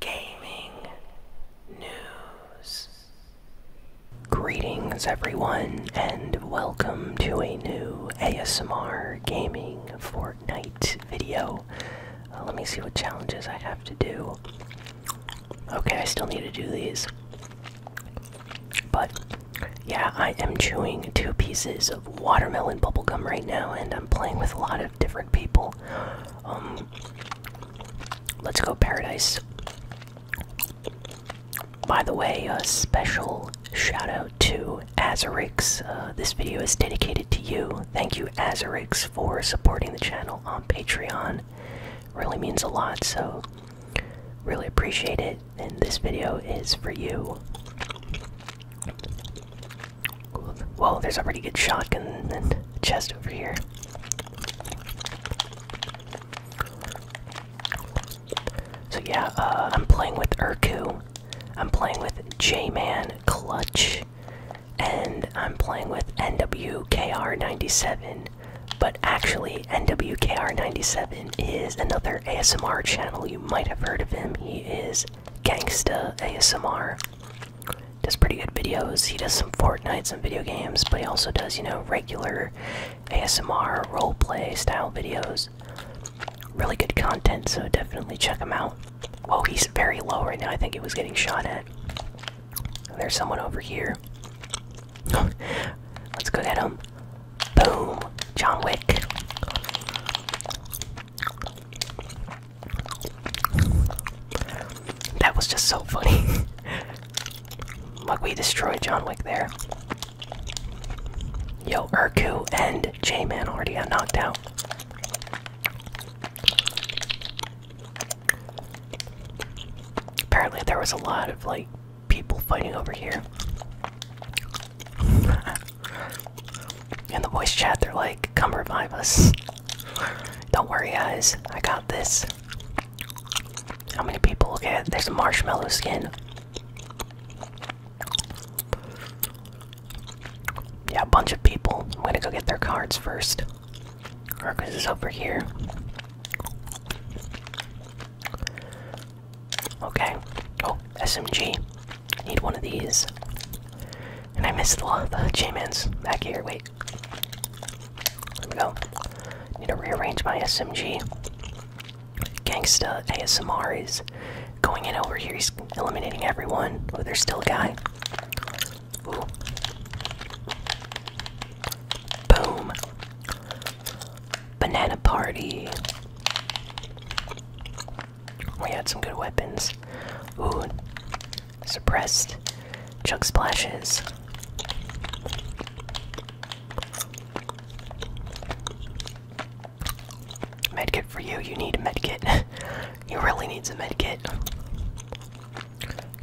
gaming news. Greetings, everyone, and welcome to a new ASMR gaming Fortnite video. Uh, let me see what challenges I have to do. Okay, I still need to do these. But yeah, I am chewing two pieces of watermelon bubblegum right now, and I'm playing with a lot of different people. Um, let's go paradise. By the way, a special shout out to Azarix. Uh, this video is dedicated to you. Thank you, Azarix, for supporting the channel on Patreon. Really means a lot, so really appreciate it. And this video is for you. Whoa, there's a pretty good shotgun and chest over here. So yeah, uh, I'm playing with Urku. I'm playing with J-Man Clutch, and I'm playing with NWKR97. But actually, NWKR97 is another ASMR channel. You might have heard of him. He is Gangsta ASMR does pretty good videos. He does some Fortnite, some video games, but he also does, you know, regular ASMR role play style videos. Really good content, so definitely check him out. Whoa, he's very low right now. I think he was getting shot at. There's someone over here. Let's go get him. Boom! John Wick. That was just so funny. Look, we destroyed John Wick there. Yo, Urku and J Man already got knocked out. Apparently, there was a lot of like people fighting over here. In the voice chat, they're like, come revive us. Don't worry, guys. I got this. How many people? Look at There's a marshmallow skin. Yeah, a bunch of people. I'm gonna go get their cards first. Arcus is over here. Okay. Oh, SMG. Need one of these. And I missed a lot the j back here. Wait. There we go. Need to rearrange my SMG. Gangsta ASMR is going in over here. He's eliminating everyone. Oh, there's still a guy. Boom. Banana party. We had some good weapons. Ooh suppressed chug splashes. Medkit for you, you need a medkit. you really need some medkit.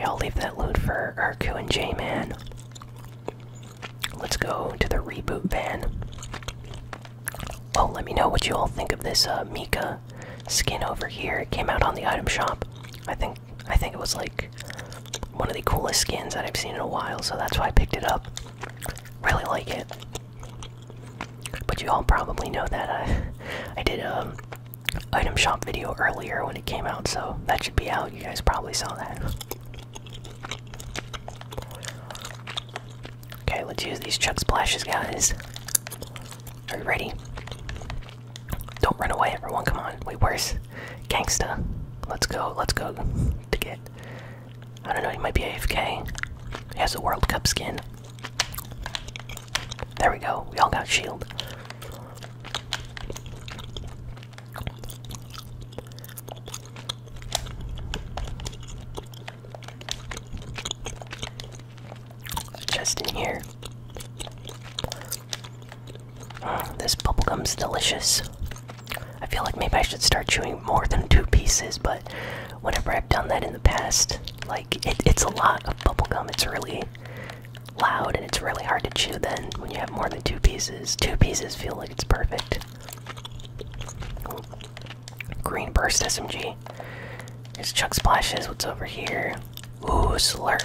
I'll leave that loot for Urku and J Man. Let's go to the reboot van. Oh, let me know what you all think of this uh, Mika skin over here. It came out on the item shop. I think I think it was like one of the coolest skins that I've seen in a while, so that's why I picked it up. Really like it. But you all probably know that I, I did a um, item shop video earlier when it came out, so that should be out. You guys probably saw that. Okay, let's use these chuck splashes, guys. Are you ready? Don't run away, everyone. Come on. Wait, worse, Gangsta? Let's go. Let's go to get. I don't know. He might be AFK. He has a World Cup skin. There we go. We all got shield just in here. Oh, this bubblegum's delicious. I feel like maybe I should start chewing more than two pieces, but whenever I've done that in the past, like it's a lot of bubblegum. It's really loud and it's really hard to chew then when you have more than two pieces. Two pieces feel like it's perfect. Green burst SMG. There's Chuck Splashes, what's over here? Ooh, slurp.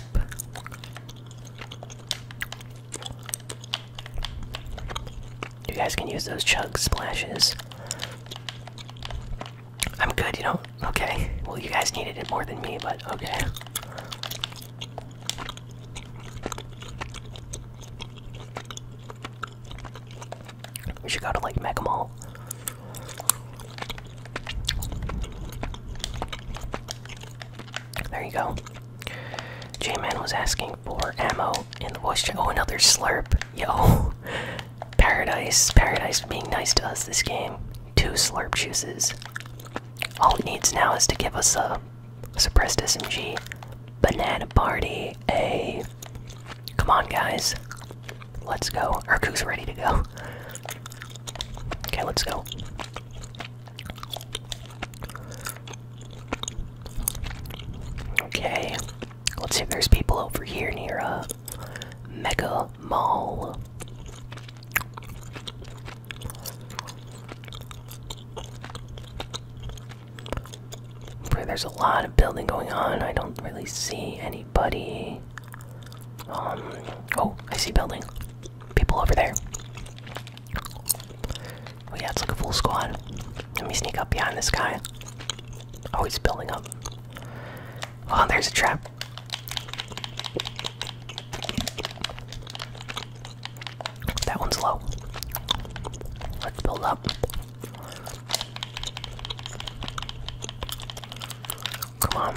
You guys can use those chug splashes. I'm good, you know? Okay. Well, you guys needed it more than me, but okay. We should go to like Mega Mall. There you go. J-Man was asking for ammo in the voice chat. Oh, another slurp. Yo. Paradise. Paradise being nice to us this game. Two slurp juices. All it needs now is to give us a suppressed SMG. Banana party. A. Come on, guys. Let's go. Urku's ready to go. Okay, let's go. Okay, let's see if there's people over here near a uh, mega mall. There's a lot of building going on. I don't really see anybody. Um, oh, I see building people over there. Oh yeah, it's like a full squad. Let me sneak up behind this guy. Oh, he's building up. Oh, there's a trap. That one's low. Let's build up. Come on.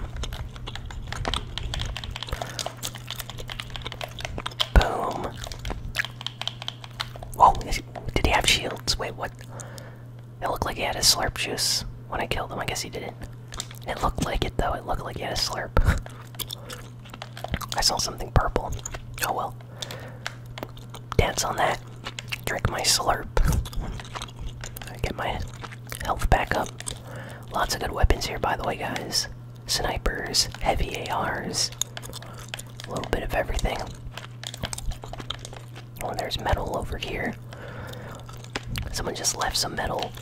Boom. Whoa, did he have shields? Wait, what? It looked like he had a slurp juice when I killed him. I guess he didn't. It looked like it though. It looked like he had a slurp. I saw something purple. Oh well. Dance on that. Drink my slurp. I get my health backup. Lots of good weapons here, by the way, guys. Snipers, heavy ARs, a little bit of everything. Oh, there's metal over here. Someone just left some metal.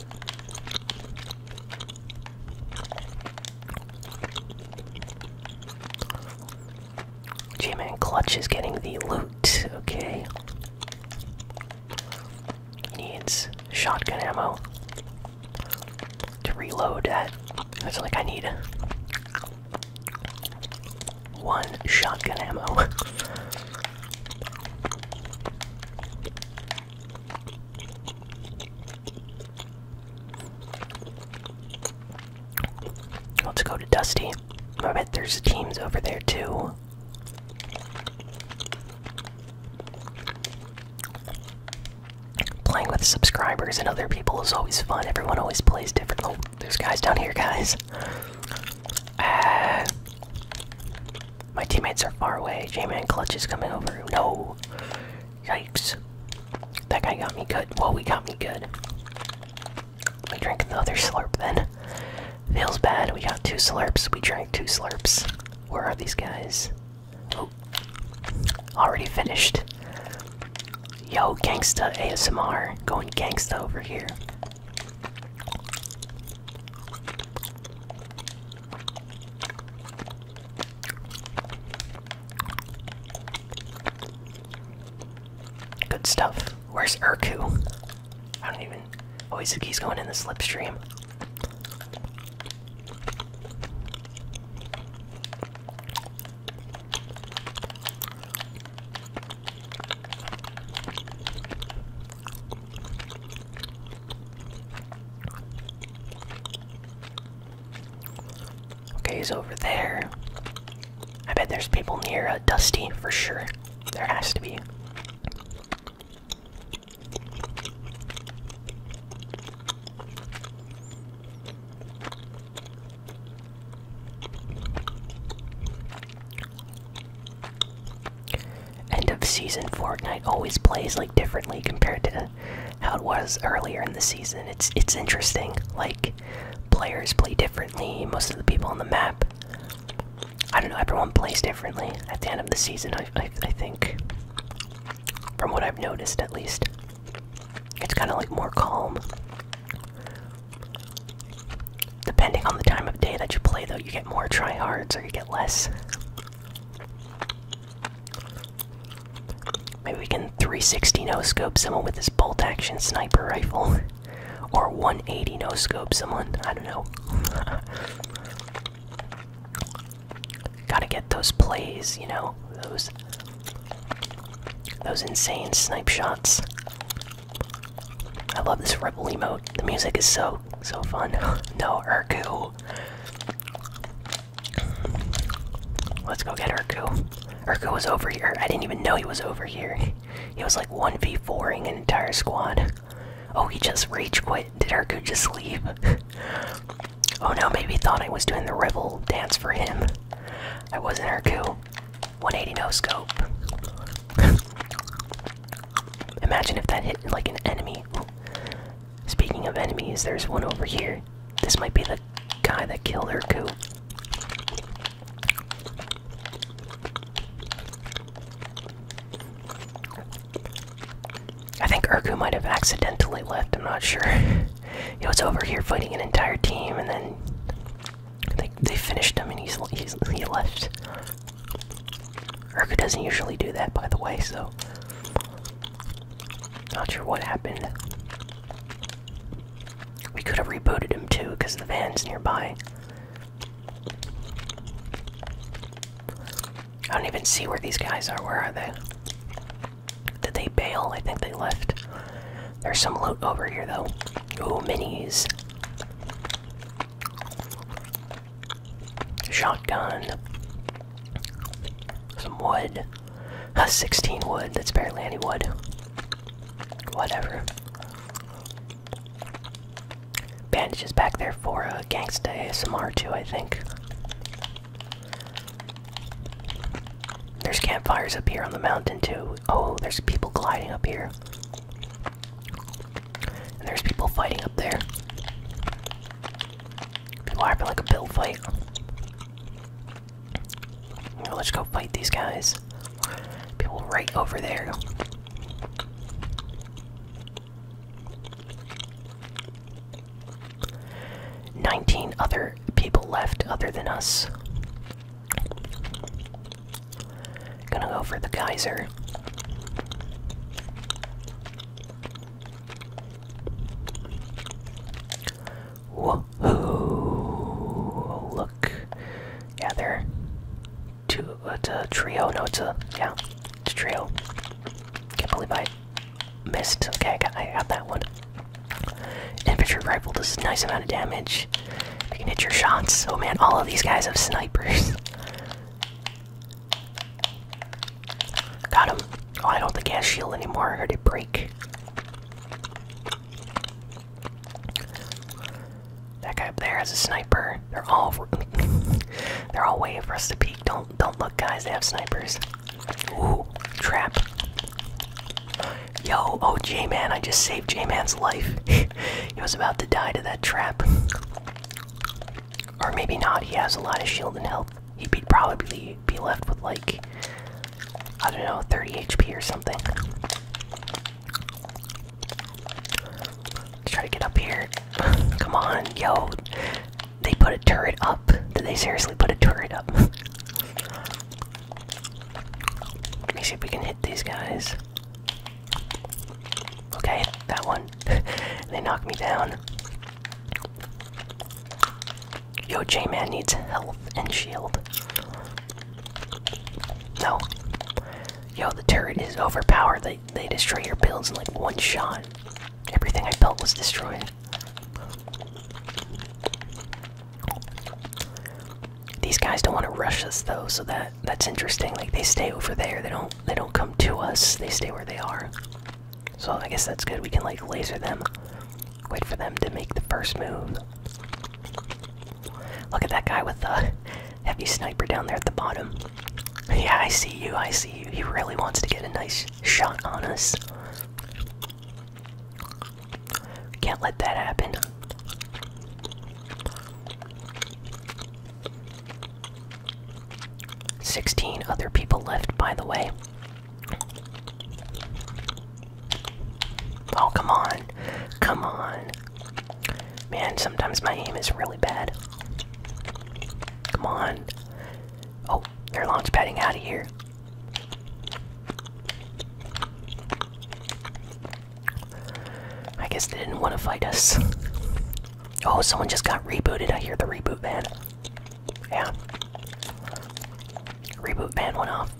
G-Man Clutch is getting the loot, okay. He needs shotgun ammo to reload that. It's like I need one shotgun ammo. Let's go to Dusty. I bet there's teams over there too. Playing with subscribers and other people is always fun. Everyone always plays different. Oh, there's guys down here, guys. Uh, my teammates are far away. J-Man Clutch is coming over. No. Yikes. That guy got me good. Well, we got me good. Let me drink the slurp then. Feels bad. We got two slurps. We drank two slurps. Where are these guys? Oh, already finished. Yo, gangsta ASMR, going gangsta over here. Good stuff. Where's Urku? I don't even. Oh, Izuki's going in the slipstream. Okay, he's over there. I bet there's people near uh, Dusty for sure. There has to be. End of season Fortnite always plays like differently compared to how it was earlier in the season. It's it's interesting. Like players play differently. Most of the people on the map I don't know, everyone plays differently at the end of the season, I, think. From what I've noticed, at least. It's kind of like more calm. Depending on the time of day that you play, though, you get more try tryhards or you get less. Maybe we can 360 no scope someone with this bolt action sniper rifle. Or 180 no scope someone. I don't know. Gotta get those plays, you know, those those insane snipe shots. I love this rebel mode. The music is so so fun. no Urku. Let's go get Urku. Urku was over here. I didn't even know he was over here. He was like 1v4ing an entire squad. Oh, he just rage quit. Did Arku just leave? oh no, maybe thought I was doing the revel dance for him. I wasn't Arku. 180 no scope. Imagine if that hit like an enemy. Speaking of enemies, there's one over here. This might be the guy that killed Urku. I think Urku might have accidentally left, I'm not sure. he was over here fighting an entire team and then they, they finished him and he's, he left. Urku doesn't usually do that, by the way, so. Not sure what happened. We could have rebooted him too, because the van's nearby. I don't even see where these guys are. Where are they? Did they bail? I think they left. There's some loot over here, though. Ooh, minis. Shotgun. Some wood. 16 wood. That's barely any wood. Whatever bandages back there for a uh, gangsta ASMR two, I think. There's campfires up here on the mountain too. Oh, there's people gliding up here. there's people fighting up there. People are having like a bill fight. let's go fight these guys. People right over there. 19 other people left other than us. Gonna go for the geyser. Whoa! Look, yeah, they're two. a trio. No, it's yeah. It's true. Can't believe I missed. Okay, I got, that one. Infantry rifle does a nice amount of damage. We can hit your shots. Oh man, all of these guys have snipers. Got him. Oh, I don't think he has shield anymore. I heard it break. That guy up there has a sniper. They're all they're all waiting for us to peek. Don't don't look, guys. They have snipers. Ooh, trap. Yo, oh J-Man, I just saved J-Man's life. he was about to die to that trap. Or maybe not. He has a lot of shield and health. He'd probably be left with like I don't know, 30 HP or something. Let's try to get up here. Come on, yo. They put a turret up. Did they seriously put a turret up? Let me see if we can hit these guys. Okay, that one. they knocked me down. Yo, J Man needs health and shield. No. Yo, the turret is overpowered. They they destroy your builds in like one shot. Everything I built was destroyed. These guys don't want to rush us though, so that that's interesting. Like they stay over there. They don't they don't come to us. They stay where they are. So I guess that's good. We can like laser them. Wait for them to make the first move. Look at that guy with the heavy sniper down there at the bottom. Yeah, I see you, I see you. He really wants to get a nice shot on us. Can't let that happen. Sixteen other people left, by the way. Oh, come on. Come on. Man, sometimes my aim is really bad. Come on. Oh, they're launch padding out of here. I guess they didn't want to fight us. Oh, someone just got rebooted. I hear the reboot ban. Yeah. Reboot ban went off.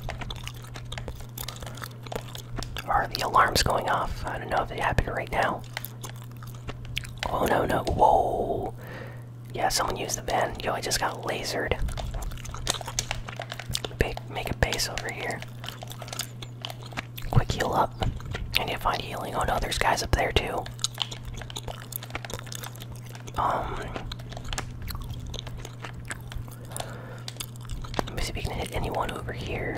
Are the alarm's going off. I don't know if it happened right now. Oh no no! Whoa! Yeah, someone used the van. Yo, I just got lasered. Big, make a base over here. Quick heal up. I need to find healing. Oh no, there's guys up there too. Um. Let me see if we can hit anyone over here.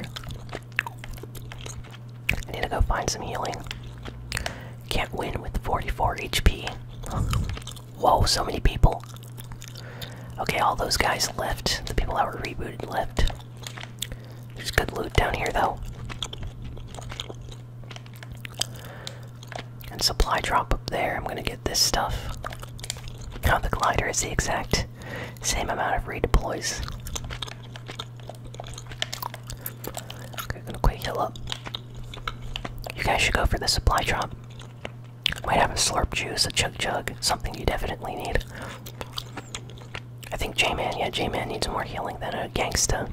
I need to go find some healing. Can't win with 44 HP. Whoa, so many people. Okay, all those guys left. The people that were rebooted left. There's good loot down here, though. And supply drop up there. I'm gonna get this stuff. Now the glider is the exact same amount of redeploys. Okay, gonna quick heal up. You guys should go for the supply drop. Might have a slurp juice, a chug chug, something you definitely need. I think J-Man, yeah, J-Man needs more healing than a gangsta.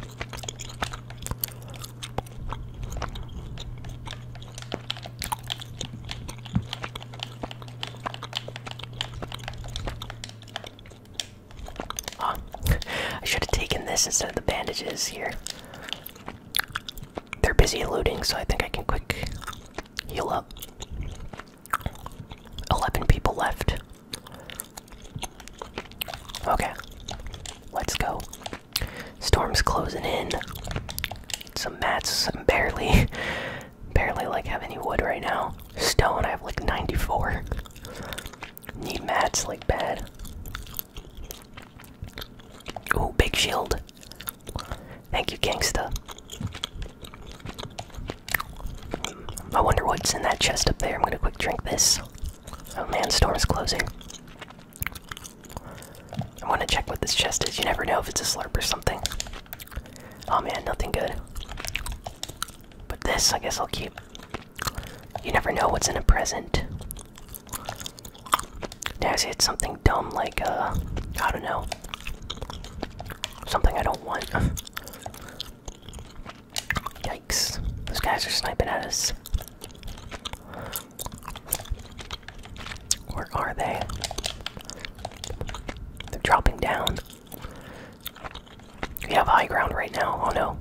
I should have taken this instead of the bandages here. They're busy looting, so I think I can quick heal up. 11 people left. Okay. Let's go. Storm's closing in. Some mats. I'm barely, barely like have any wood right now. Stone, I have like 94. Need mats like bad. Ooh, big shield. Thank you, gangsta. I wonder what's in that chest up there. I'm gonna quick drink this. Oh man, storm's closing. I wanna check what this chest is. You never know if it's a slurp or something. Oh man, nothing good. But this, I guess I'll keep. You never know what's in a present. Dax hit something dumb like, uh, I don't know. Something I don't want. Yikes. Those guys are sniping at us. Where are they? They're dropping down. We have high ground right now. Oh no.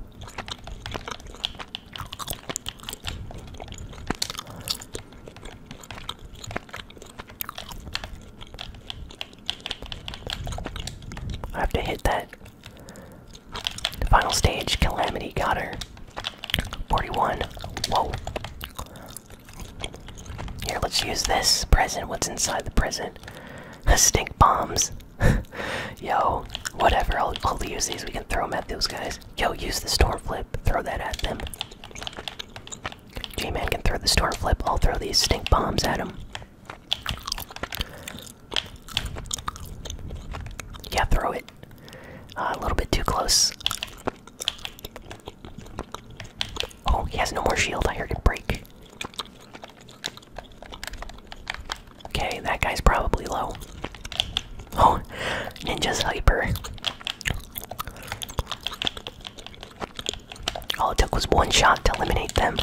I have to hit that. The final stage, Calamity got her. 41. Whoa. Here, let's use this present. What's inside the present? Stink bombs. Yo, whatever. I'll, use these. We can throw them at those guys. Yo, use the storm flip. Throw that at them. G-Man can throw the storm flip. I'll throw these stink bombs at him. Yeah, throw it. Uh, a little bit too close. Oh, he has no more shield. I heard it break. Okay, that guy's probably low. Oh, Ninja's hyper. All it took was one shot to eliminate them.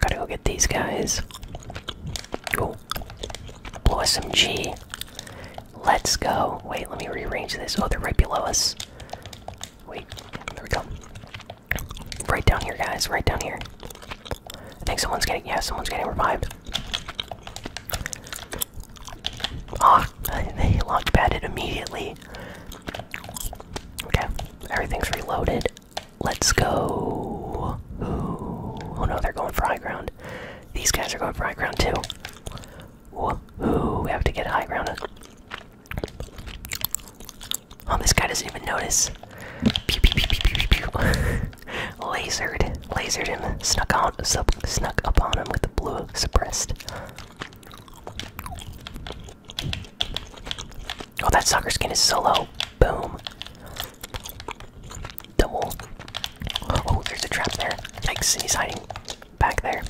Gotta go get these guys. Ooh. Blow SMG. Let's go. Wait, let me rearrange this. Oh, they're right below us. Wait, there we go. Right down here, guys. Right down here. I think someone's getting. Yeah, someone's getting revived. Ah, they locked padded immediately. Okay, everything's reloaded. Let's go. Oh no, they're going for high ground. These guys are going for high ground too. Woohoo, we have to get high ground. Oh, this guy doesn't even notice. Pew pew Lasered, lasered him. Snuck on, snuck up on him with the blue suppressed. Oh, that sucker's skin is so low. Boom. Double. Oh, there's a trap there. Yikes, he's hiding back there.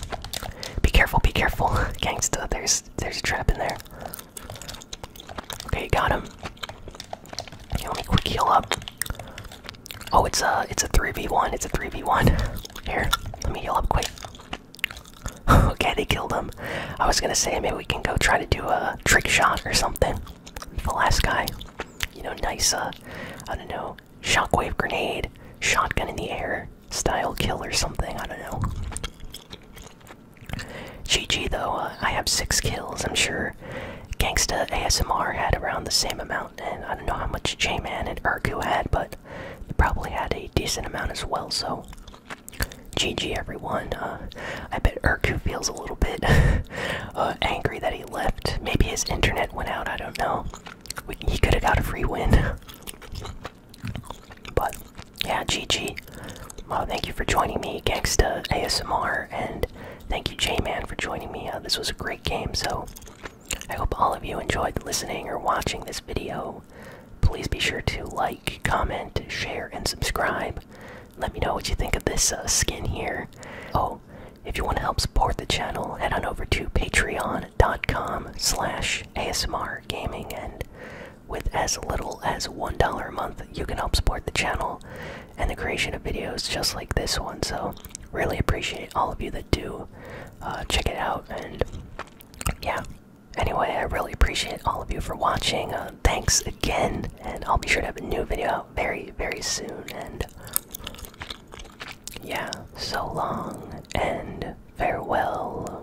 Be careful, be careful, gangsta. There's there's a trap in there. Okay, got him. let me quick heal up. Oh, it's a it's a three v one. It's a three v one. Here, let me heal up quick. okay, they killed him. I was gonna say maybe we can go try to do a trick shot or something. The last guy, you know, nice. Uh, I don't know, shockwave grenade, shotgun in the air, style kill or something. I don't know. GG though, uh, I have six kills. I'm sure Gangsta ASMR had around the same amount, and I don't know how much J Man and Urku had, but they probably had a decent amount as well. So, GG everyone. Uh, I bet Urku feels a little bit uh, angry that he left. Maybe his internet went out, I don't know. he could have got a free win. But yeah, GG. Well, thank you for joining me, Gangsta ASMR, and thank you, J Man, for joining me. Uh, this was a great game, so I hope all of you enjoyed listening or watching this video. Please be sure to like, comment, share, and subscribe. Let me know what you think of this uh, skin here. Oh, if you want to help support the channel, head on over to patreon.com slash ASMR gaming and with as little as $1 a month, you can help support the channel and the creation of videos just like this one. So, really appreciate all of you that do uh, check it out. And yeah, anyway, I really appreciate all of you for watching. Uh, thanks again, and I'll be sure to have a new video very, very soon. And yeah, so long and Farewell.